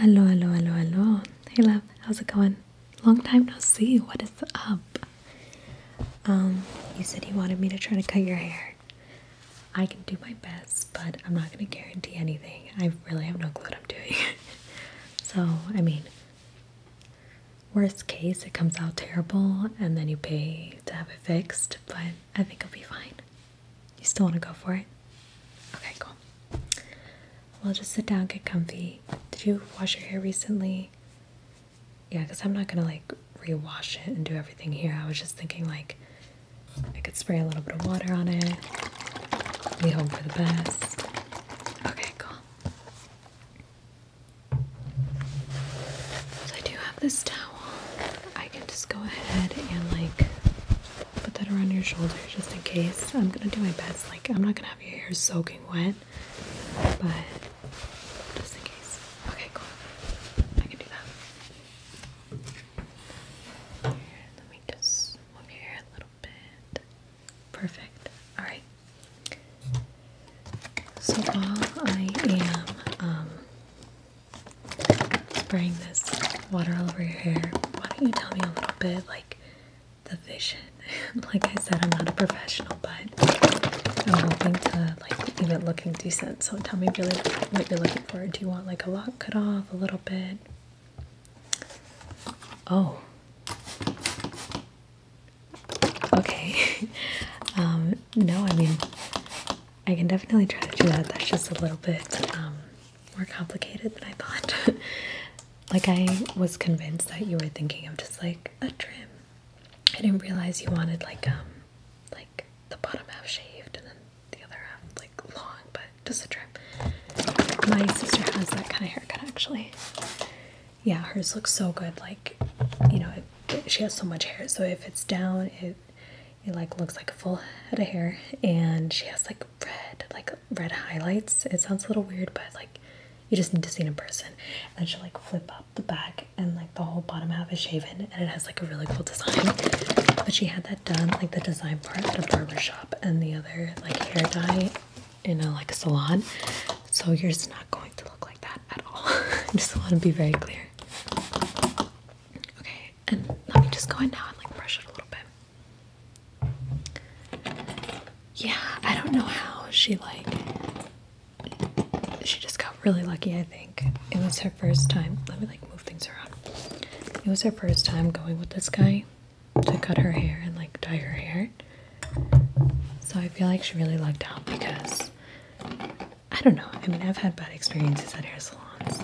Hello, hello, hello, hello. Hey, love. How's it going? Long time no see. What is up? Um, you said you wanted me to try to cut your hair. I can do my best, but I'm not gonna guarantee anything. I really have no clue what I'm doing. so, I mean, worst case, it comes out terrible, and then you pay to have it fixed. But I think I'll be fine. You still want to go for it? Okay, cool. Well, just sit down, get comfy. Did you wash your hair recently? Yeah, because I'm not going to like rewash it and do everything here. I was just thinking like I could spray a little bit of water on it. We hope for the best. Okay, cool. So I do have this towel. I can just go ahead and like put that around your shoulder just in case. I'm gonna do my best. Like I'm not gonna have your hair soaking wet, but just in case. Okay, cool. I can do that. let me just move your hair a little bit. Perfect. All right. So while I am um, spraying this water all over your hair. Why don't you tell me a little bit, like the vision? like I said, I'm not a professional, but I'm hoping to like even looking decent. So tell me really what you're looking for. Do you want like a lot cut off, a little bit? Oh. Okay. Um, no, I mean, I can definitely try to do that. That's just a little bit um, more complicated than I thought. like, I was convinced that you were thinking of just like a trim. I didn't realize you wanted like, um, like the bottom half shaved and then the other half like long, but just a trim. My sister has that kind of haircut actually. Yeah, hers looks so good. Like, you know, she has so much hair, so if it's down, it it like looks like a full head of hair and she has like red like red highlights it sounds a little weird but like you just need to see it in person and she'll like flip up the back and like the whole bottom half is shaven and it has like a really cool design but she had that done like the design part at a barber shop and the other like hair dye in a like a salon so yours is not going to look like that at all i just want to be very clear okay and let me just go in now and like brush it a little bit. Yeah, I don't know how she like she just got really lucky, I think. It was her first time. Let me like move things around. It was her first time going with this guy to cut her hair and like dye her hair. So I feel like she really lucked out because I don't know. I mean, I've had bad experiences at hair salons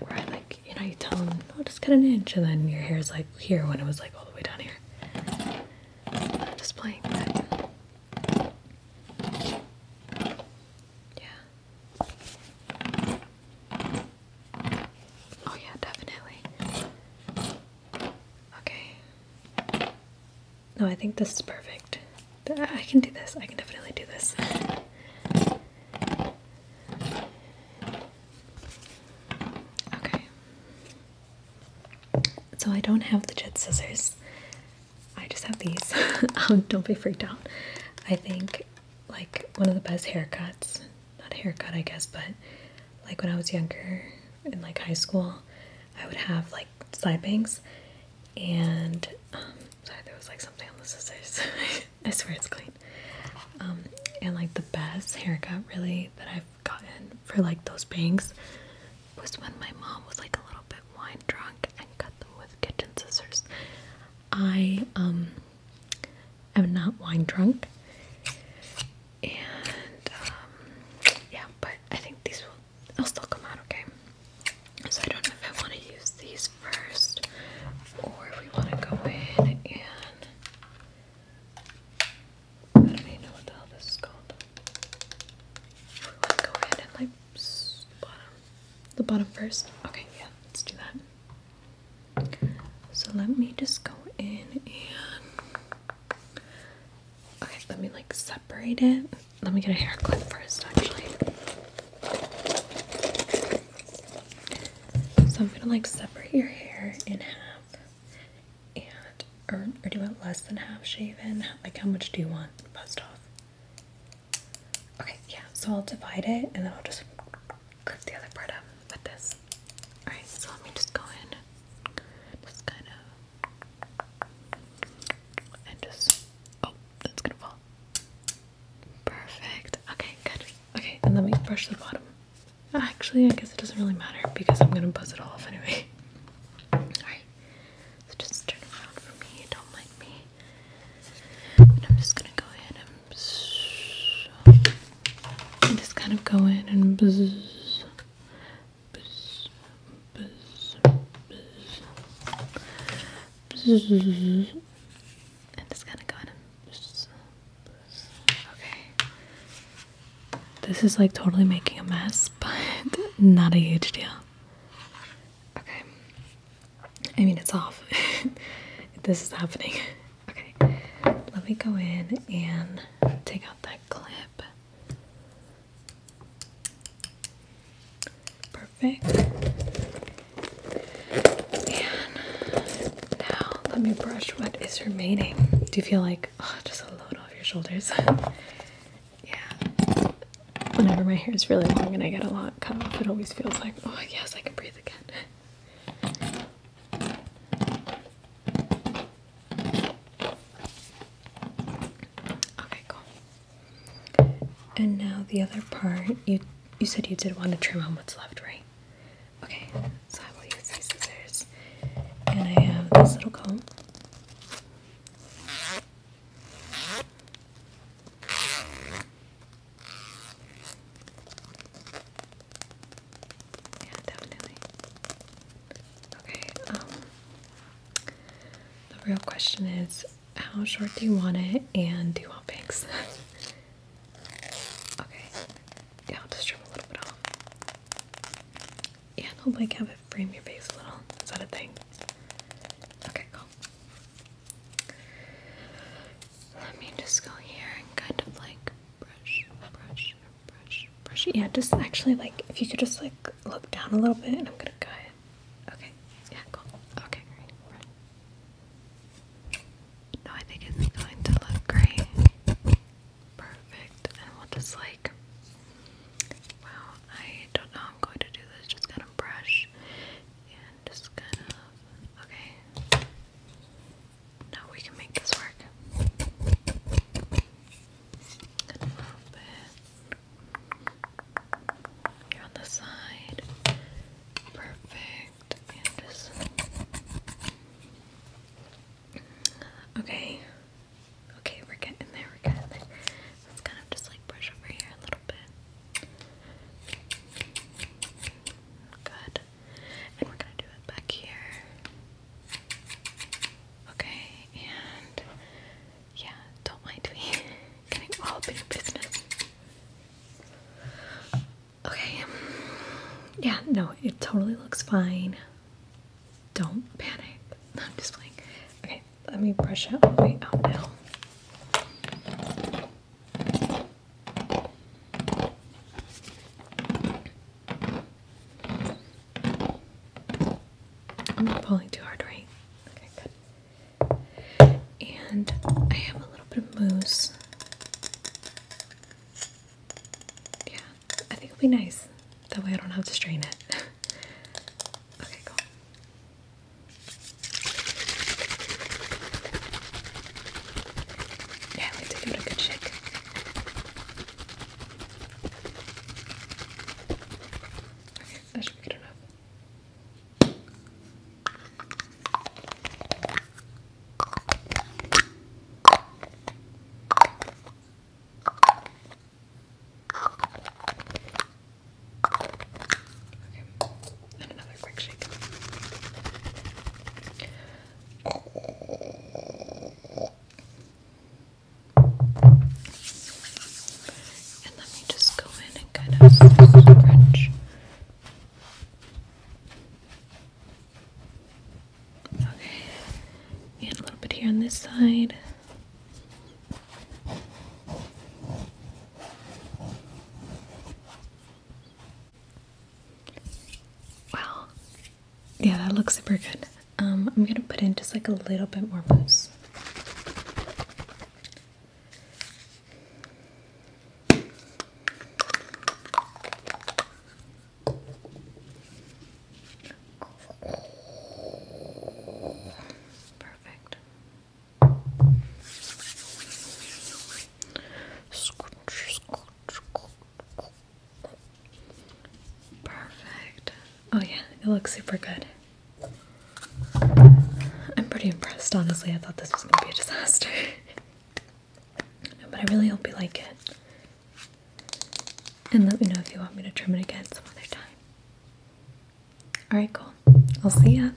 where I like, you know, you tell them, oh, just cut an inch, and then your hair is like here when it was like all the way down here. I'm just playing. But... Yeah. Oh yeah, definitely. Okay. No, I think this is perfect. I can do this. I can definitely do this. Okay. So I don't have the jet scissors. I just have these. Um, don't be freaked out. I think like one of the best haircuts, not haircut I guess, but like when I was younger in like high school, I would have like like side bangs, and um, sorry, there was like something on the scissors. I swear it's clean. Um, and like the best haircut really that I've gotten for like those bangs was when my mom was like a little bit wine drunk and cut them with kitchen scissors. I um, am not wine drunk, and yeah, but I think these will they will still come out okay. So I don't know if I want to use these first or if we want to go in and I don't even know what the hell this is called. we want to go in and like bottom the bottom first. Okay, yeah, let's do that. So let me just go in and okay, let me like separate it. Let me get a hair clip first, actually. So I'm gonna like separate your hair in half, and or, or do it less than half shaven. Like how much do you want post off? Okay, yeah. So I'll divide it, and then I'll just clip the other part up with this. All right. So let me just go in, just kind of and just oh, that's gonna fall. Perfect. Okay, good. Okay, and let me brush the bottom. Actually, I guess it doesn't really matter because I'm gonna buzz it all off anyway. Alright. So just turn around for me, don't mind me. And I'm just gonna go in and just kind of go in and buzz and it's gonna go in Okay. This is like totally making a mess, but not a huge deal. Okay. I mean, it's off. this is happening. Okay. Let me go in and take out that clip. Perfect. And now let me brush what is remaining. Do you feel like oh, just a load off your shoulders? yeah. Whenever my hair is really long and I get a lot cut off, it always feels like, oh, yes, I can breathe again. Okay, cool. And now the other part, you you said you did want to trim on what's left, right? Okay, so I will use these scissors. And I have this little comb. Yeah, definitely. Okay, um, the real question is how short do you want it and do you want bangs? okay, yeah, I'll just trim a little bit off. Yeah, I'll like have it frame your face a little. Is that a thing? Okay, cool. Let me just go here and kind of like brush, brush, brush, brush, Yeah, just actually like if you could just like look down a little bit, and I'm gonna go ahead. Okay. Yeah. Cool. Okay. Great. No, I think it's going to look great. Perfect. And we'll just like. Wow. I don't know. I'm going to do this. Just gonna brush and just kind of. Okay. No, we can make this work. Here on the side. Perfect. Okay. Okay, we're getting there, we're getting there. Let's kind of just like brush over here a little bit. Good. And we're gonna do it back here. Okay, and yeah, don't mind me getting all big business. Okay, yeah, no, it totally looks fine. Don't panic. I'm just playing. Okay, let me brush out my way out now. I'm not pulling too hard, right? Okay, good. And I have a little bit of mousse. Yeah, I think it'll be nice. That way I don't have to strain it. okay, cool. Yeah, I like to give it a good shake. Okay, that should be good Okay, and another quick shake. And let me just go in and kind of scrunch. Okay, and a little bit here on this side. Wow. Yeah, that looks super good. Um, I'm gonna put in just like a little bit more mousse. Perfect. Perfect. Oh, yeah, it looks super good. I'm pretty impressed, honestly. I thought this was gonna be a disaster. but I really hope you like it. And let me know if you want me to trim it again some other time. Alright, cool. I'll see ya.